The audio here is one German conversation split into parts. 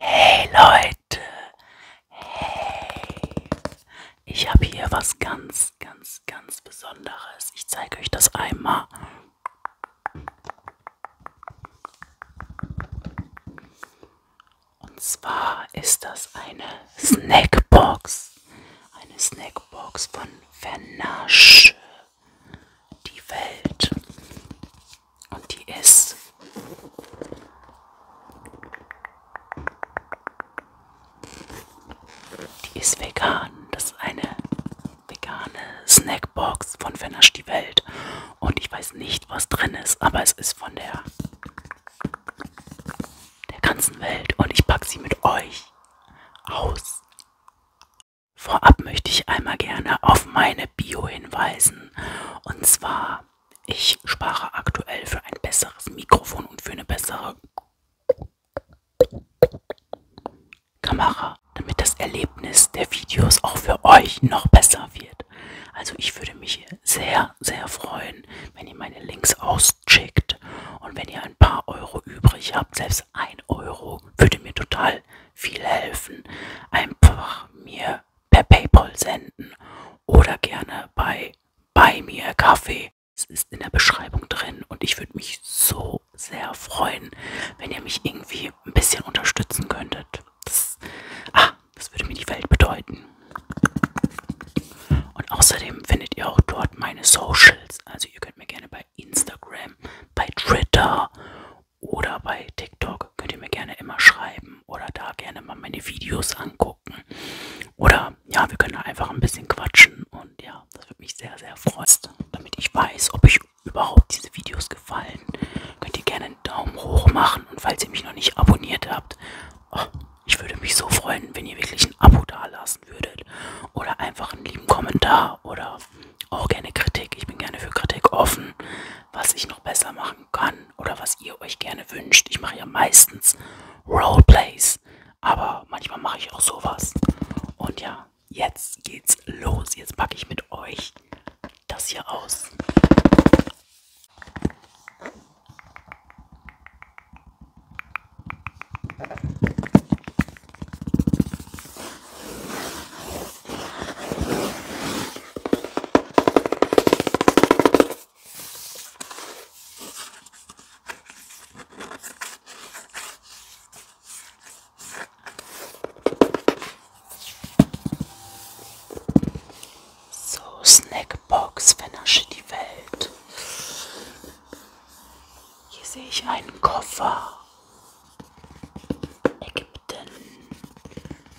Hey Leute, hey, ich habe hier was ganz, ganz, ganz Besonderes. Ich zeige euch das einmal. Und zwar ist das eine Snackbox, eine Snackbox von Vernasche. Die Welt. Und die ist die ist vegan. Das ist eine vegane Snackbox von Fennersch die Welt. Und ich weiß nicht, was drin ist, aber es ist von der, der ganzen Welt. Und ich packe sie mit euch aus. Vorab möchte ich einmal gerne auf meine Bio hinweisen. Und zwar ich spare aktuell für ein besseres Mikrofon und für eine bessere Kamera, damit das Erlebnis der Videos auch für euch noch besser wird. Also ich würde mich sehr, sehr freuen, wenn ihr meine Links auschickt und wenn ihr ein paar Euro übrig habt, selbst ein Euro würde mir total viel helfen, einfach mir gerne per PayPal senden oder gerne bei bei mir Kaffee. Es ist in der Beschreibung drin und ich würde mich so sehr freuen, wenn ihr mich irgendwie ein bisschen unterstützen könntet. Das, ah, das würde mir die Welt bedeuten. Und außerdem findet ihr auch dort meine Socials. Also ihr könnt mir gerne bei Instagram, bei Twitter oder bei TikTok könnt ihr mir gerne immer schreiben oder da gerne mal meine Videos angucken. Oder ja, wir können da einfach ein bisschen quatschen und ja, das würde mich sehr, sehr freuen. Damit ich weiß, ob euch überhaupt diese Videos gefallen, könnt ihr gerne einen Daumen hoch machen und falls ihr mich noch nicht abonniert habt, oh, ich würde mich so freuen, wenn ihr wirklich ein Abo dalassen würdet oder einfach einen lieben Kommentar oder auch gerne Kritik. Ich bin gerne für Kritik offen, was ich noch besser machen kann oder was ihr euch gerne wünscht. Ich mache ja meistens Roleplays, aber manchmal mache ich auch sowas. Und ja, jetzt geht's los. Jetzt packe ich mit euch das hier aus. So, Snackbox, vernasche die Welt. Hier sehe ich einen Koffer. Ägypten,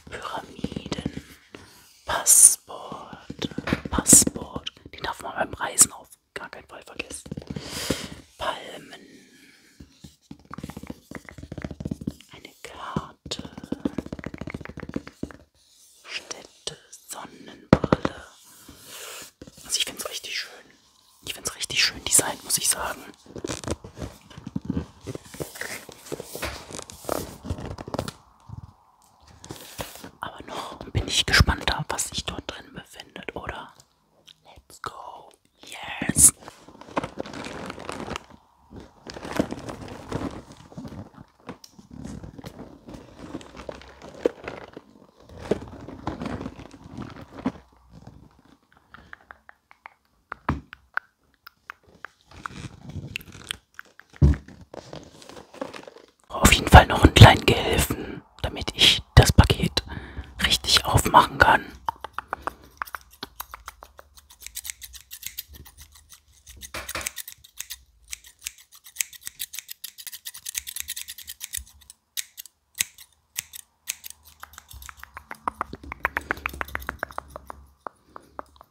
Pyramiden, Passport, Passport, den darf man beim Reisen auf gar keinen Fall vergessen, Palmen, eine Karte, Städte, Sonnenbrille. Also ich finde es richtig schön. Ich finde es richtig schön designt, muss ich sagen. Aber noch bin ich gespannter, was sich dort drin befindet, oder? Let's go. Yes. Auf jeden Fall noch einen kleinen Gehilfen, damit ich das Paket richtig aufmachen kann.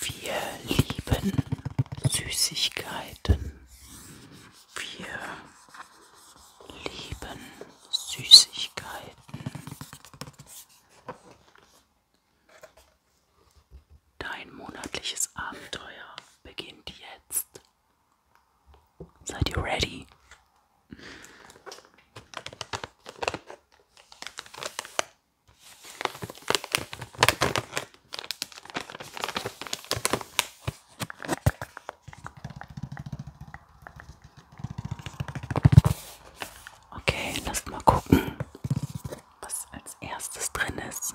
Wir lieben Süßigkeiten. Wir lieben Süßigkeiten. Dein monatliches Abenteuer beginnt jetzt. Seid ihr ready? Okay, lasst mal gucken, was als erstes drin ist.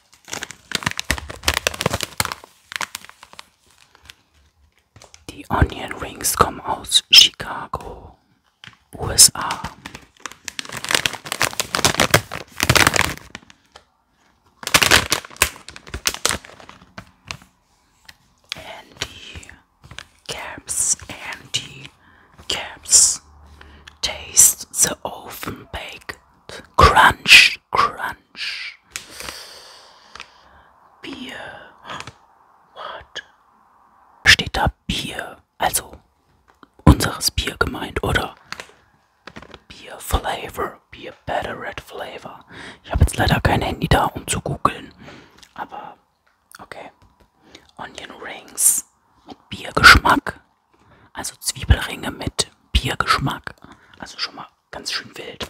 The onion rings come out Chicago, USA. And the caps and taste the oven baked crunch crunch. Orange. Bier. What? Steht da Bier? Also unseres Bier gemeint, oder? Bier Flavor. Bier Butterred Flavor. Ich habe jetzt leider kein Handy da, um zu googeln. Aber okay. Onion Rings mit Biergeschmack. Also Zwiebelringe mit Biergeschmack. Also schon mal ganz schön wild.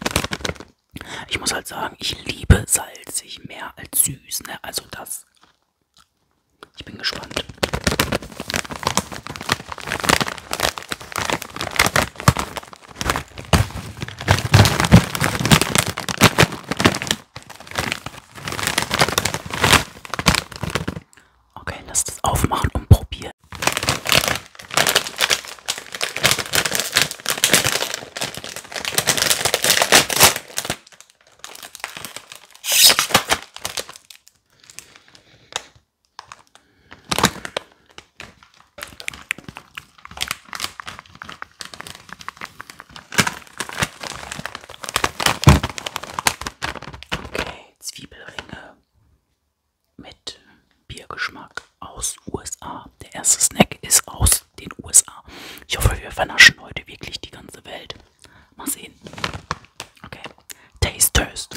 Ich muss halt sagen, ich liebe salzig mehr als süß, ne? Also das. Ich bin gespannt. Okay, lass das aufmachen und probieren. Okay, Zwiebelringe mit Biergeschmack aus USA. Der erste Snack ist aus den USA. Ich hoffe, wir vernaschen heute wirklich die ganze Welt. Mal sehen. Okay. Taste Toast.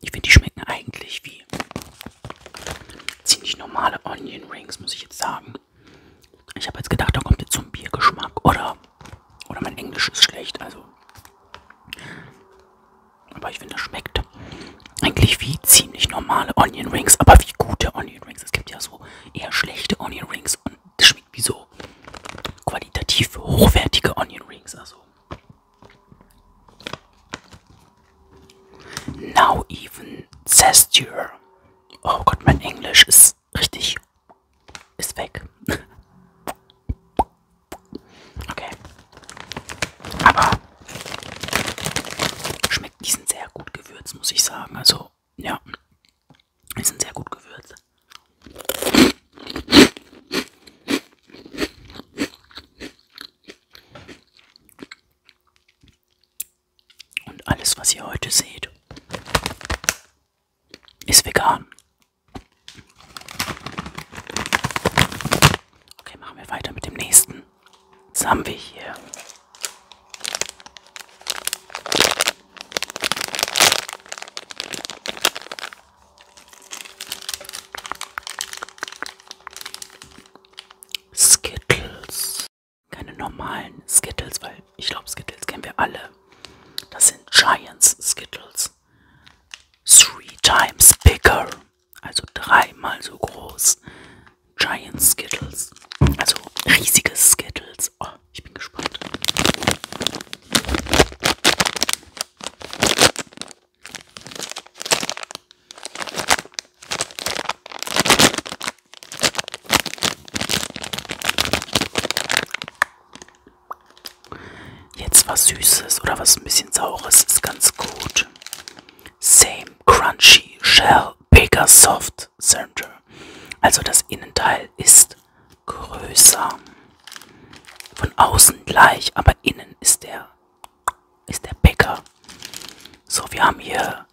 Ich finde, die schmecken eigentlich wie ziemlich normale Onion Rings, muss ich jetzt sagen. Ich habe jetzt gedacht, da kommt jetzt so ein Biergeschmack. Oder, oder mein Englisch ist schlecht, also. Aber ich finde, das schmeckt eigentlich wie ziemlich normale Onion Rings, aber wie gute Onion Rings. Es gibt ja so eher schlechte Onion Rings und das schmeckt wie so qualitativ hochwertige Onion Rings. Also Now even gesture. Oh Gott, mein Englisch ist richtig. ist weg. okay. Aber schmeckt diesen sehr gut gewürzt, muss ich sagen. Also, ja. Die sind sehr gut gewürzt. Und alles, was ihr heute seht, ist vegan. Okay, machen wir weiter mit dem nächsten. Jetzt haben wir hier Skittles. Keine normalen Skittles, weil ich glaube, Skittles kennen wir alle. Das sind Giants Skittles. Three times bigger. Also dreimal so groß. Giant Skittles. Also riesige Skittles. Oh, ich bin gespannt. Jetzt was Süßes oder was ein bisschen Saures ist ganz gut. Same Crunchy Shell Baker Soft Center. Also das Innenteil ist größer. Von außen gleich, aber innen ist der, ist der Picker. So, wir haben hier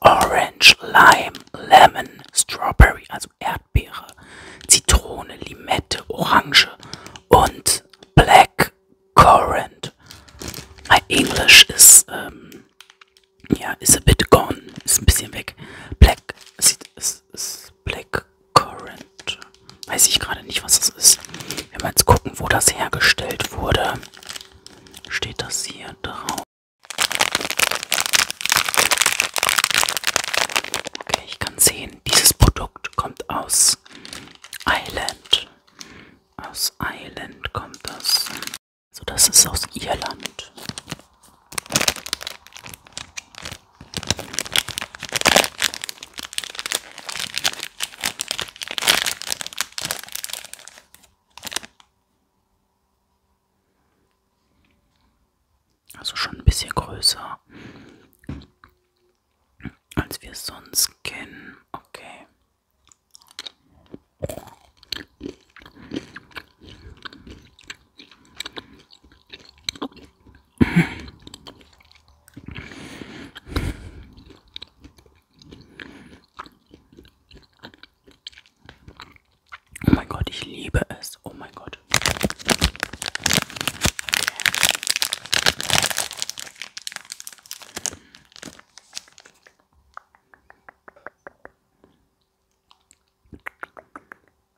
Orange, Lime, Lemon, Strawberry, also Erdbeere, Zitrone, Limette, Orange und Black Currant. My English ist, ähm, ja, ist a bit gone, ist ein bisschen weg. Black, ist, ist, ist Black Currant. Weiß ich gerade nicht, was das ist. Wenn wir jetzt gucken, wo das hergestellt wurde, steht das hier drauf. Okay, ich kann sehen, dieses Produkt kommt aus Island. Aus Island kommt das. So, also das ist aus Irland. Also schon ein bisschen größer, als wir es sonst kennen. Okay. Oh mein Gott, ich liebe es. Oh mein Gott.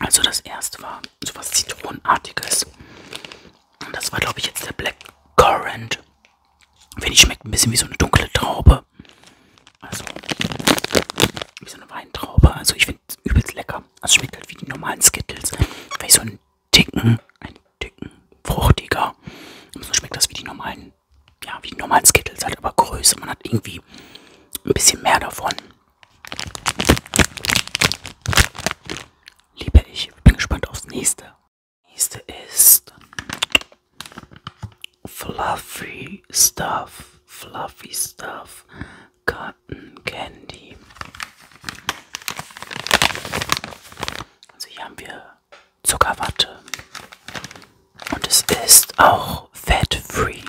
Also das erste war sowas Zitronenartiges. Und das war, glaube ich, jetzt der Black Currant. Finde ich, schmeckt ein bisschen wie so eine dunkle Traube. Also, wie so eine Weintraube. Also ich finde es übelst lecker. Also schmeckt halt wie die normalen Skittles. Vielleicht so einen dicken, einen dicken, fruchtiger. Und so schmeckt das wie die normalen, ja, wie die normalen Skittles halt, aber größer. Man hat irgendwie ein bisschen mehr davon. Liebe ich, bin gespannt aufs nächste. Nächste ist Fluffy Stuff, Fluffy Stuff, Cotton Candy. Also hier haben wir Zuckerwatte und es ist auch fat free.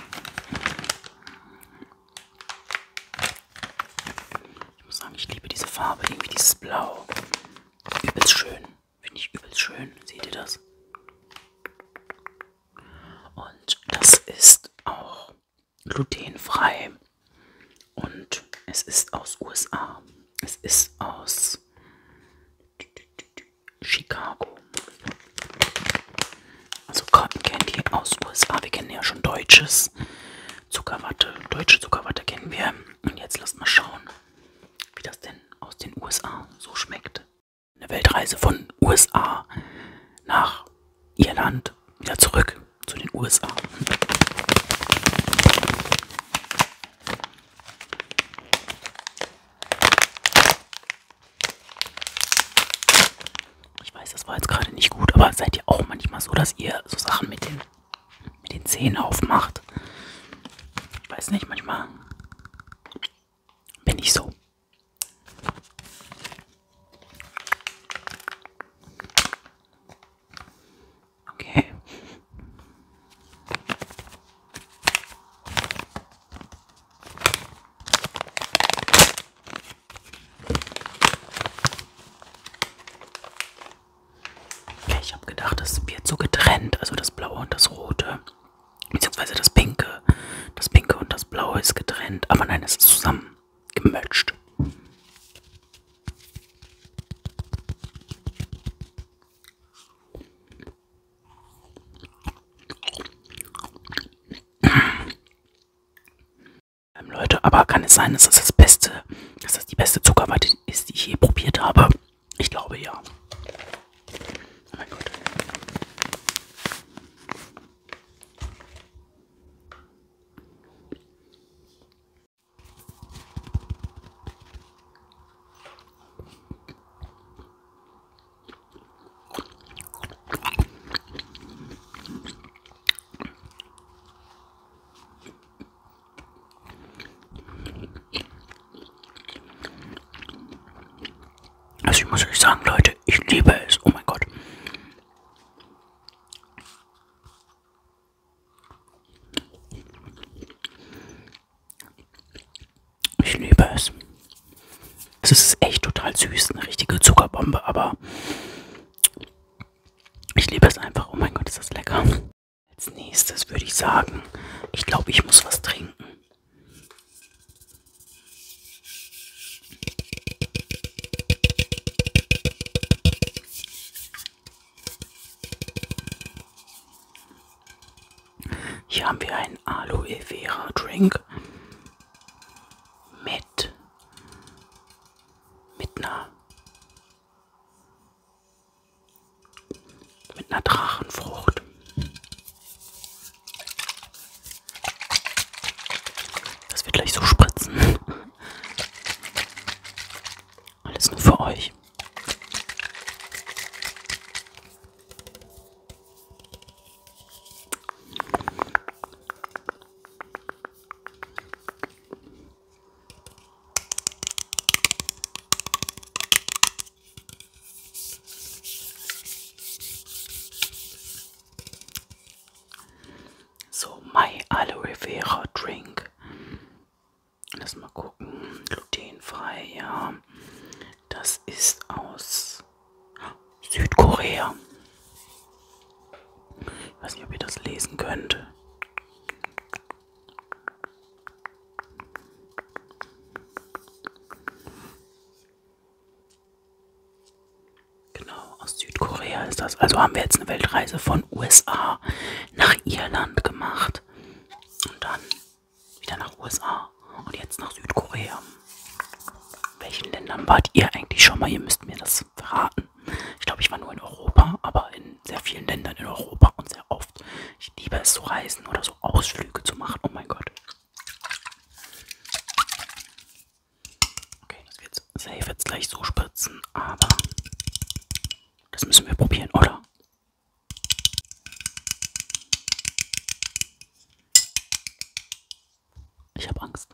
Ich muss sagen, ich liebe diese Farbe, irgendwie dieses Blau. Übelst schön. Finde ich übelst schön. Seht ihr das? Und das ist auch glutenfrei. Und es ist aus USA. Es ist aus Chicago. Also Cotton Candy aus USA. Wir kennen ja schon deutsches Zuckerwatte. Deutsche Zuckerwatte kennen wir. Und jetzt lasst mal schauen, wie das denn aus den USA so schmeckt. Eine Weltreise von USA nach Irland wieder zurück zu den USA. Ich weiß, das war jetzt gerade nicht gut, aber seid ihr auch manchmal so, dass ihr so Sachen mit den, mit den Zähnen aufmacht? Ich weiß nicht, manchmal bin ich so. Okay. Okay, ich habe gedacht, das wird so getrennt, also das Blaue und das Rote, beziehungsweise das Pinke. Das Pinke und das Blaue ist getrennt, aber nein, es ist zusammen gemölscht. Ähm, Leute, aber kann es sein, dass das das Beste, dass das die beste Zuckerwatte ist, die ich je probiert habe? Ich glaube ja. Oh mein Gott. Also ich muss euch sagen, Leute, ich liebe es. Oh mein Gott. Ich liebe es. Es ist echt total süß, eine richtige Zuckerbombe, aber ich liebe es einfach. Oh mein Gott, ist das lecker. Als nächstes würde ich sagen, ich glaube, ich muss was trinken. Hier haben wir einen Aloe Vera Drink mit mit einer mit einer Drachenfrucht. Das wird gleich so spritzen. Alles nur für euch. So, my Aloe Vera Drink. Lass mal gucken. Glutenfrei, ja. Das ist aus Südkorea. Ich weiß nicht, ob ihr das lesen könnt. Genau, aus Südkorea ist das. Also haben wir jetzt eine Weltreise von USA nach Irland gemacht. Und dann wieder nach USA und jetzt nach Südkorea welchen Ländern wart ihr eigentlich schon mal? Ihr müsst mir das verraten. Ich glaube, ich war nur in Europa, aber in sehr vielen Ländern in Europa und sehr oft. Ich liebe es zu reisen oder so Ausflüge zu machen. Oh mein Gott. Okay, das wird safe jetzt gleich so spritzen, aber das müssen wir probieren, oder? Ich habe Angst.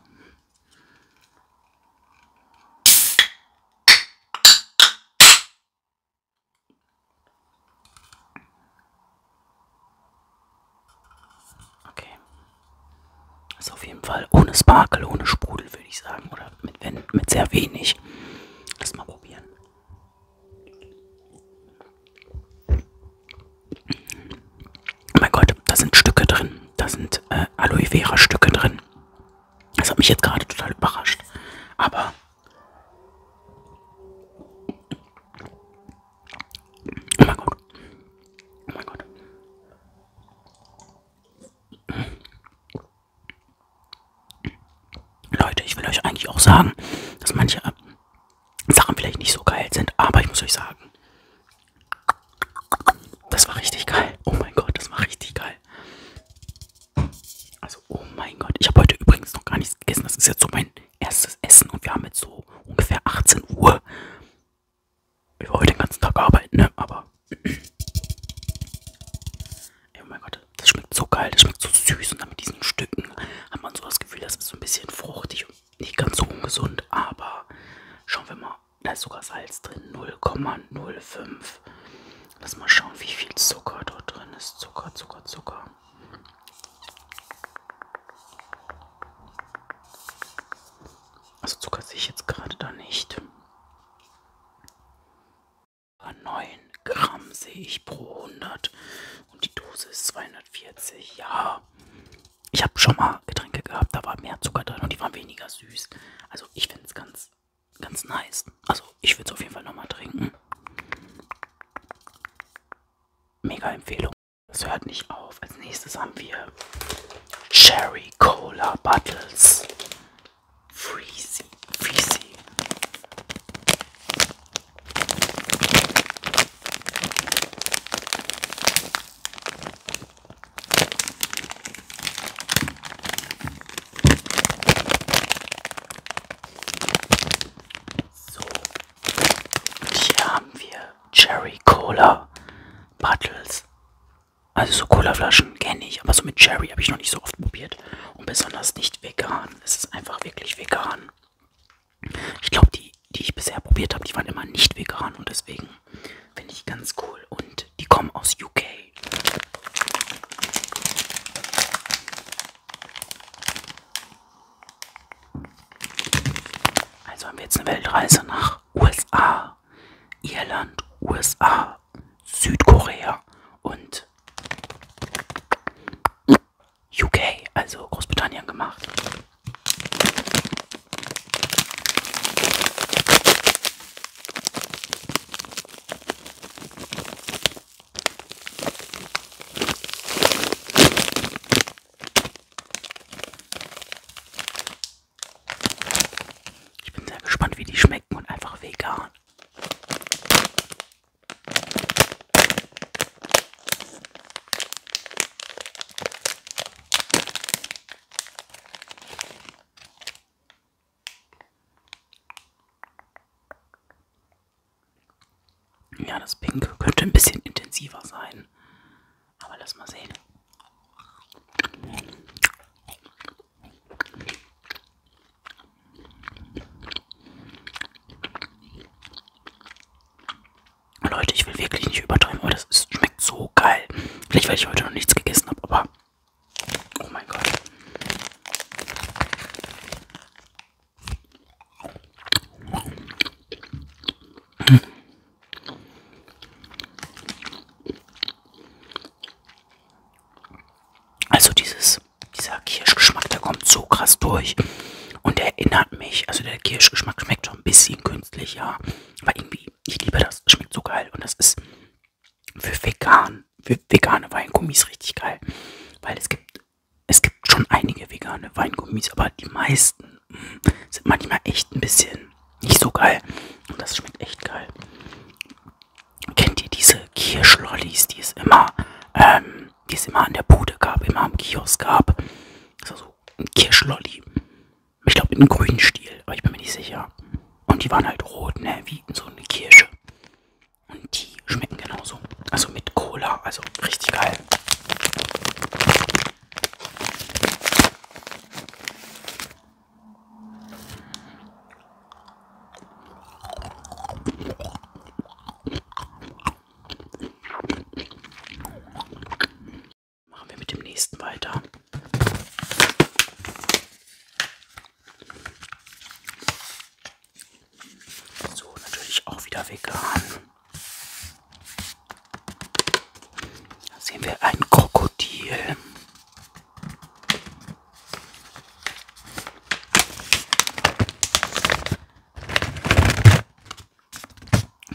Okay. Ist auf jeden Fall ohne Sparkel, ohne Sprudel, würde ich sagen. Oder mit, wenn, mit sehr wenig. Lass mal probieren. Oh mein Gott, da sind Stücke drin. Da sind äh, Aloe Vera Stücke drin. Das hat mich jetzt gerade total überrascht. Aber Oh mein Gott. Oh mein Gott. Leute, ich will euch eigentlich auch sagen, dass manche Sachen vielleicht nicht so geil sind, aber ich muss euch sagen, das war richtig geil. Oh mein Gott, das war richtig geil. Also, oh mein Gott. Ich habe heute übrigens noch gar nichts gegessen. Das ist jetzt so mein erstes Essen und wir haben jetzt so ungefähr 18 Uhr. Ich war heute den ganzen Tag arbeiten, ne? Aber. Ey, oh mein Gott, das schmeckt so geil. Das schmeckt so süß und dann mit diesen Stücken hat man so das Gefühl, das ist so ein bisschen fruchtig und nicht ganz so ungesund, aber schauen wir mal, da ist sogar Salz drin, 0,05. Lass mal schauen, wie viel Zucker dort drin ist. Zucker, Zucker, Zucker. Also Zucker sehe ich jetzt gerade da nicht. 9 Gramm sehe ich pro 100 und die Dose ist 240. Ja, ich habe schon mal Getränke gehabt, da war mehr Zucker drin und die waren weniger süß. Also ich finde es ganz, ganz nice. Also ich würde es auf jeden Fall nochmal trinken. Mega Empfehlung. Das hört nicht auf. Als nächstes haben wir Cherry Cola Bottles. Freezy. Freezy. So, und hier haben wir Cherry Cola Bottles. Also so Colaflaschen kenne ich, aber so mit Cherry habe ich noch nicht so oft probiert. Und besonders nicht vegan. Es ist einfach wirklich vegan. Ich glaube, die, die ich bisher probiert habe, die waren immer nicht vegan und deswegen finde ich ganz cool. Und die kommen aus UK. Also haben wir jetzt eine Weltreise nach USA, Irland, USA, Südkorea und UK, also Großbritannien gemacht. Ich bin sehr gespannt, wie die schmecken und einfach vegan. Ja, das Pink könnte ein bisschen intensiver sein. Aber lass mal sehen. Leute, ich will wirklich nicht übertreiben, aber das ist, schmeckt so geil. Vielleicht, weil ich heute noch nichts gegessen habe, aber... Oh mein Gott. Hm. Also dieses, dieser Kirschgeschmack, der kommt so krass durch und der erinnert mich, also der Kirschgeschmack schmeckt schon ein bisschen künstlich, ja. Aber irgendwie, ich liebe das. Schmeckt so geil. Und das ist für vegan, für vegane Weingummis richtig geil. Weil es gibt, es gibt schon einige vegane Weingummis, aber die meisten mh, mm, sind manchmal echt ein bisschen nicht so geil. Und das schmeckt echt geil. Kennt ihr diese Kirschlollis, die es immer, ähm, die es immer an der Bude gab, immer am Kiosk gab? Das war so ein Kirschlolli. Ich glaube mit einem grünen Stiel, aber ich bin mir nicht sicher. Und die waren halt rot, ne? Wie so eine Kirsche. Und die schmecken genauso. Also mit Cola, also richtig geil. Machen wir mit dem nächsten weiter. So, natürlich auch wieder vegan. Da sehen wir ein Krokodil.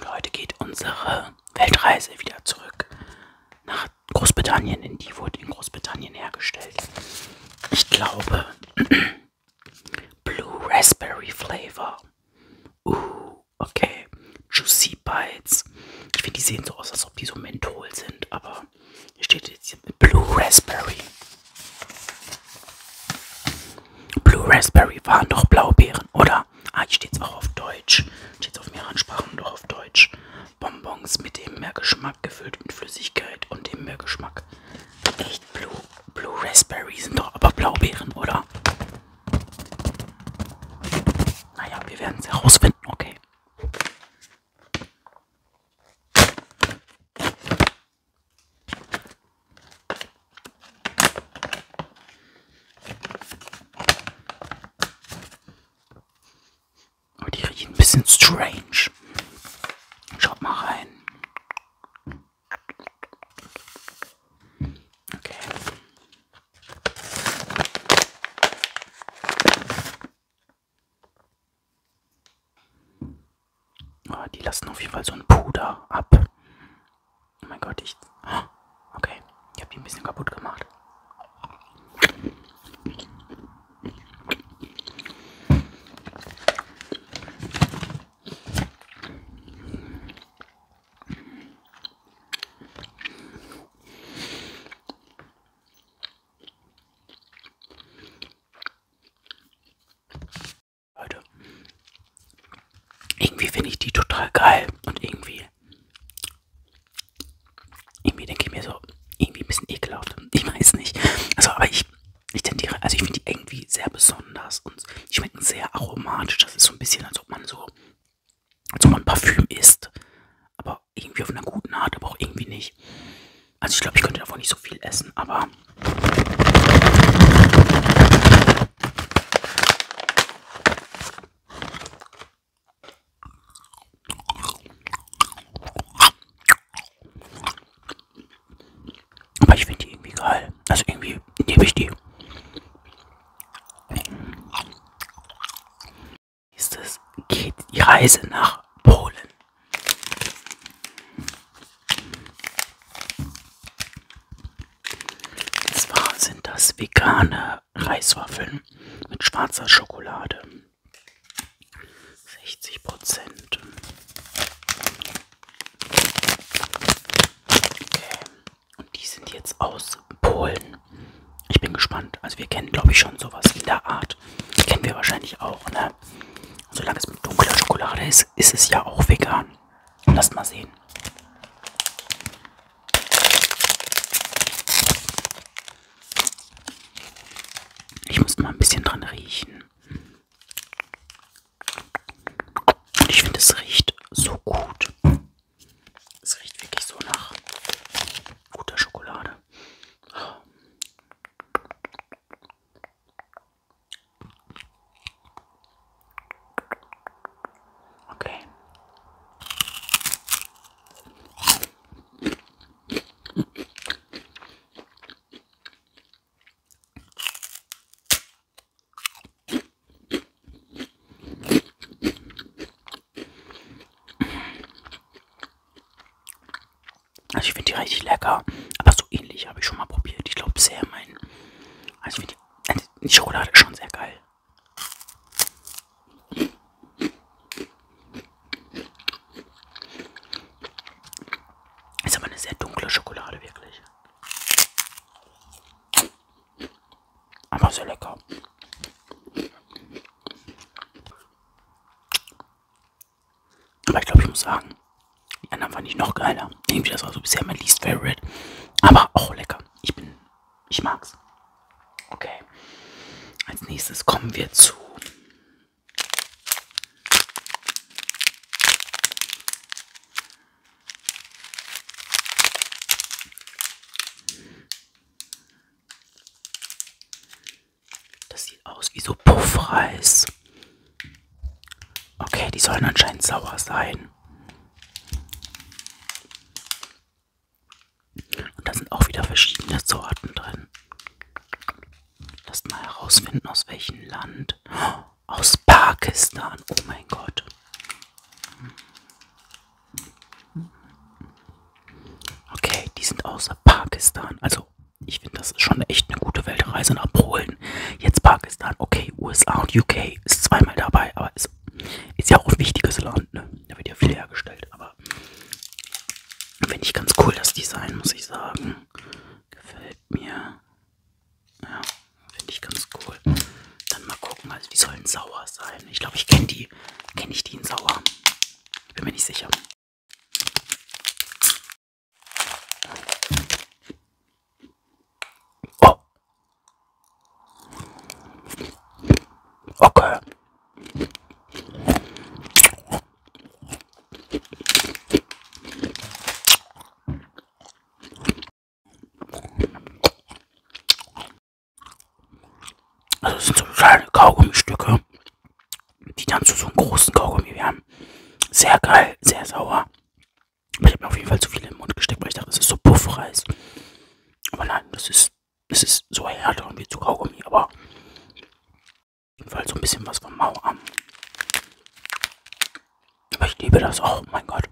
Heute geht unsere Weltreise wieder zurück nach Großbritannien, denn die wurde in Großbritannien hergestellt. Ich glaube, Blue Raspberry Flavor. Uh, okay. Juicy Bites. Ich finde, die sehen so aus, als ob die so Menthol sind, aber hier steht jetzt hier Blue Raspberry. Blue Raspberry waren doch Blaubeeren, oder? Ah, hier steht es auch auf Deutsch. Steht auf mehreren Sprachen und auch auf Deutsch. Bonbons mit dem Meergeschmack gefüllt mit Flüssigkeit und dem Meergeschmack. Echt Blue, Blue Raspberry sind doch aber Blaubeeren, oder? Naja, wir werden es herausfinden, okay. Aber die riechen ein bisschen strange. Schaut mal rein. Okay. Oh, die lassen auf jeden Fall so ein Puder ab. Oh mein Gott, ich. Okay, ich habe die ein bisschen kaputt gemacht. Leute. Irgendwie finde ich die total geil und irgendwie. Irgendwie denke ich mir so, irgendwie ein bisschen ekelhaft. Ich weiß nicht. Also, aber ich, ich tendiere, also ich finde die irgendwie sehr besonders und die schmecken sehr aromatisch. Das ist so ein bisschen, als ob man so, als ob man Parfüm isst. Aber irgendwie auf einer guten Art, aber auch irgendwie nicht. Also ich glaube, ich könnte davon nicht so viel essen, aber aber ich finde die irgendwie geil. Also irgendwie nehme ich die. Nächstes geht die Reise nach Polen. Und zwar sind das vegane Reiswaffeln mit schwarzer Schokolade. 60 Prozent. Okay. Und die sind jetzt aus Polen. Ich bin gespannt. Also wir kennen, glaube ich, schon sowas in der Art. Die kennen wir wahrscheinlich auch, ne? Solange es mit dunkler Schokolade ist, ist es ja auch vegan. Lasst mal sehen. Ich muss mal ein bisschen dran riechen. Und ich finde, es riecht so gut. Es riecht wirklich so nach guter Schokolade. Okay. Also ich finde die richtig lecker. Aber so ähnlich habe ich schon mal probiert. Ich glaube sehr mein. Also ich finde die Schokolade ist schon sehr geil. Ist aber eine sehr dunkle Schokolade, wirklich. Aber sehr lecker. Aber ich glaube, ich muss sagen, die anderen fand ich noch geiler. Irgendwie, das war so bisher mein least favorite. Aber auch lecker lecker. Ich bin, ich mag's. Okay. Als nächstes kommen wir zu Das sieht aus wie so Puffreis. Okay, die sollen anscheinend sauer sein. Und da sind auch wieder verschiedene Sorten drin. Lass mal herausfinden, aus welchem Land. Aus Pakistan. Oh mein Gott. Okay, die sind außer Pakistan. Also, ich finde, das ist schon echt eine gute Weltreise nach Polen. Indien, jetzt Pakistan, okay, USA und UK ist zweimal dabei, aber ist, ist ja auch ein wichtiges Land, ne? Da wird ja viel hergestellt, aber finde ich ganz cool das Design, muss ich sagen. Gefällt mir. Ja, finde ich ganz cool. Dann mal gucken, also die sollen sauer sein. Ich glaube, ich kenne die. Kenne ich die in sauer? Bin mir nicht sicher. Oh. Okay. Also das sind so kleine Kaugummistücke, die dann zu so einem großen Kaugummi werden. Sehr geil, sehr sauer. Ich habe mir auf jeden Fall zu viel in den Mund gesteckt, weil ich dachte, das ist so Puffreis. Aber nein, das ist, das ist so härter und wie zu Kaugummi, aber auf jeden Fall so ein bisschen was von Mauer. Aber ich liebe das auch, oh mein Gott.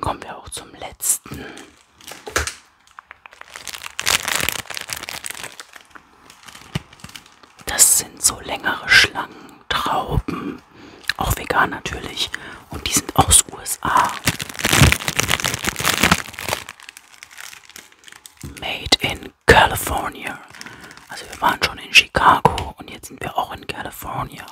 Kommen wir auch zum letzten. Das sind so längere Schlangentrauben ähm, auch vegan natürlich und die sind aus USA. Made in California. Also wir waren schon in Chicago und jetzt sind wir auch in California.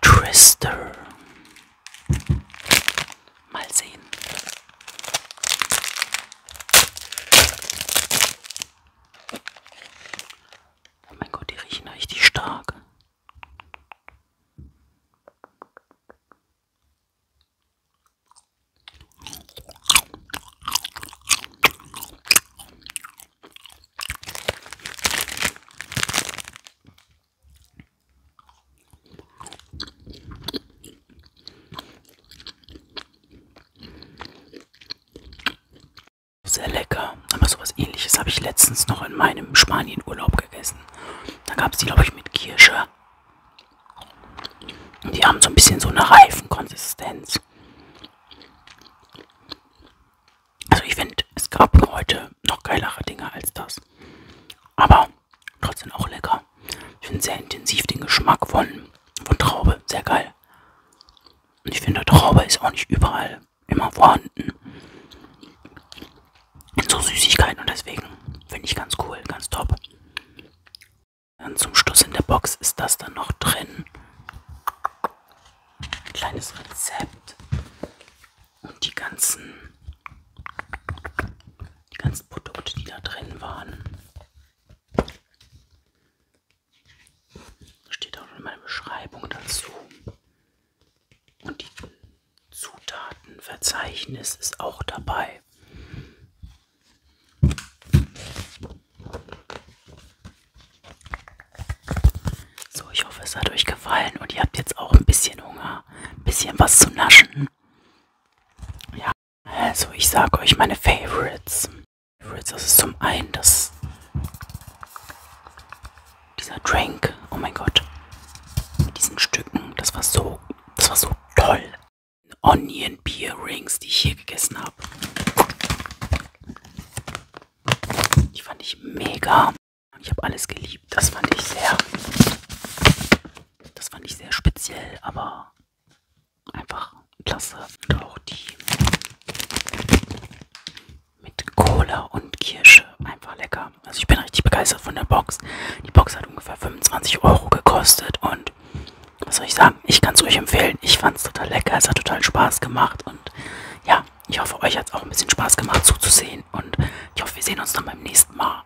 Trister. Mal sehen. Oh mein Gott, die riechen richtig stark. Sehr lecker. Aber sowas ähnliches habe ich letztens noch in meinem Spanienurlaub gegessen. Da gab es die, glaube ich, mit Kirsche. Und die haben so ein bisschen so eine Reifenkonsistenz. Also ich finde, es gab heute noch geilere Dinge als das. Aber Trotzdem auch lecker. Ich finde sehr intensiv den Geschmack von, von Traube. Sehr geil. Und ich finde, Traube ist auch nicht überall immer vorhanden. In so Süßigkeiten und deswegen finde ich ganz cool, ganz top. Dann zum Schluss in der Box ist das dann noch drin. Ein kleines Rezept. Und die ganzen, die ganzen Produkte, die da drin waren. Steht auch in meiner Beschreibung dazu. Und die Zutatenverzeichnis ist auch dabei. So, ich hoffe, es hat euch gefallen und ihr habt jetzt auch ein bisschen Hunger, ein bisschen was zu naschen. Ja. Also ich sage euch meine Favorites. Favorites, das ist zum einen das dieser Drink. Oh mein Gott. Mit diesen Stücken, das war so, das war so toll. Onion Beer Rings, die ich hier gegessen habe. Die fand ich mega. Ich habe alles geliebt. Das fand ich sehr das fand ich sehr speziell, aber einfach klasse. Und auch die mit Cola und Kirsche. Einfach lecker. Also ich bin richtig begeistert von der Box. Die Box hat ungefähr 25 Euro gekostet und was soll ich sagen? Ich kann es euch empfehlen. Ich fand es total lecker. Es hat total Spaß gemacht und ja, ich hoffe, euch hat es auch ein bisschen Spaß gemacht zuzusehen und ich hoffe, wir sehen uns dann beim nächsten Mal.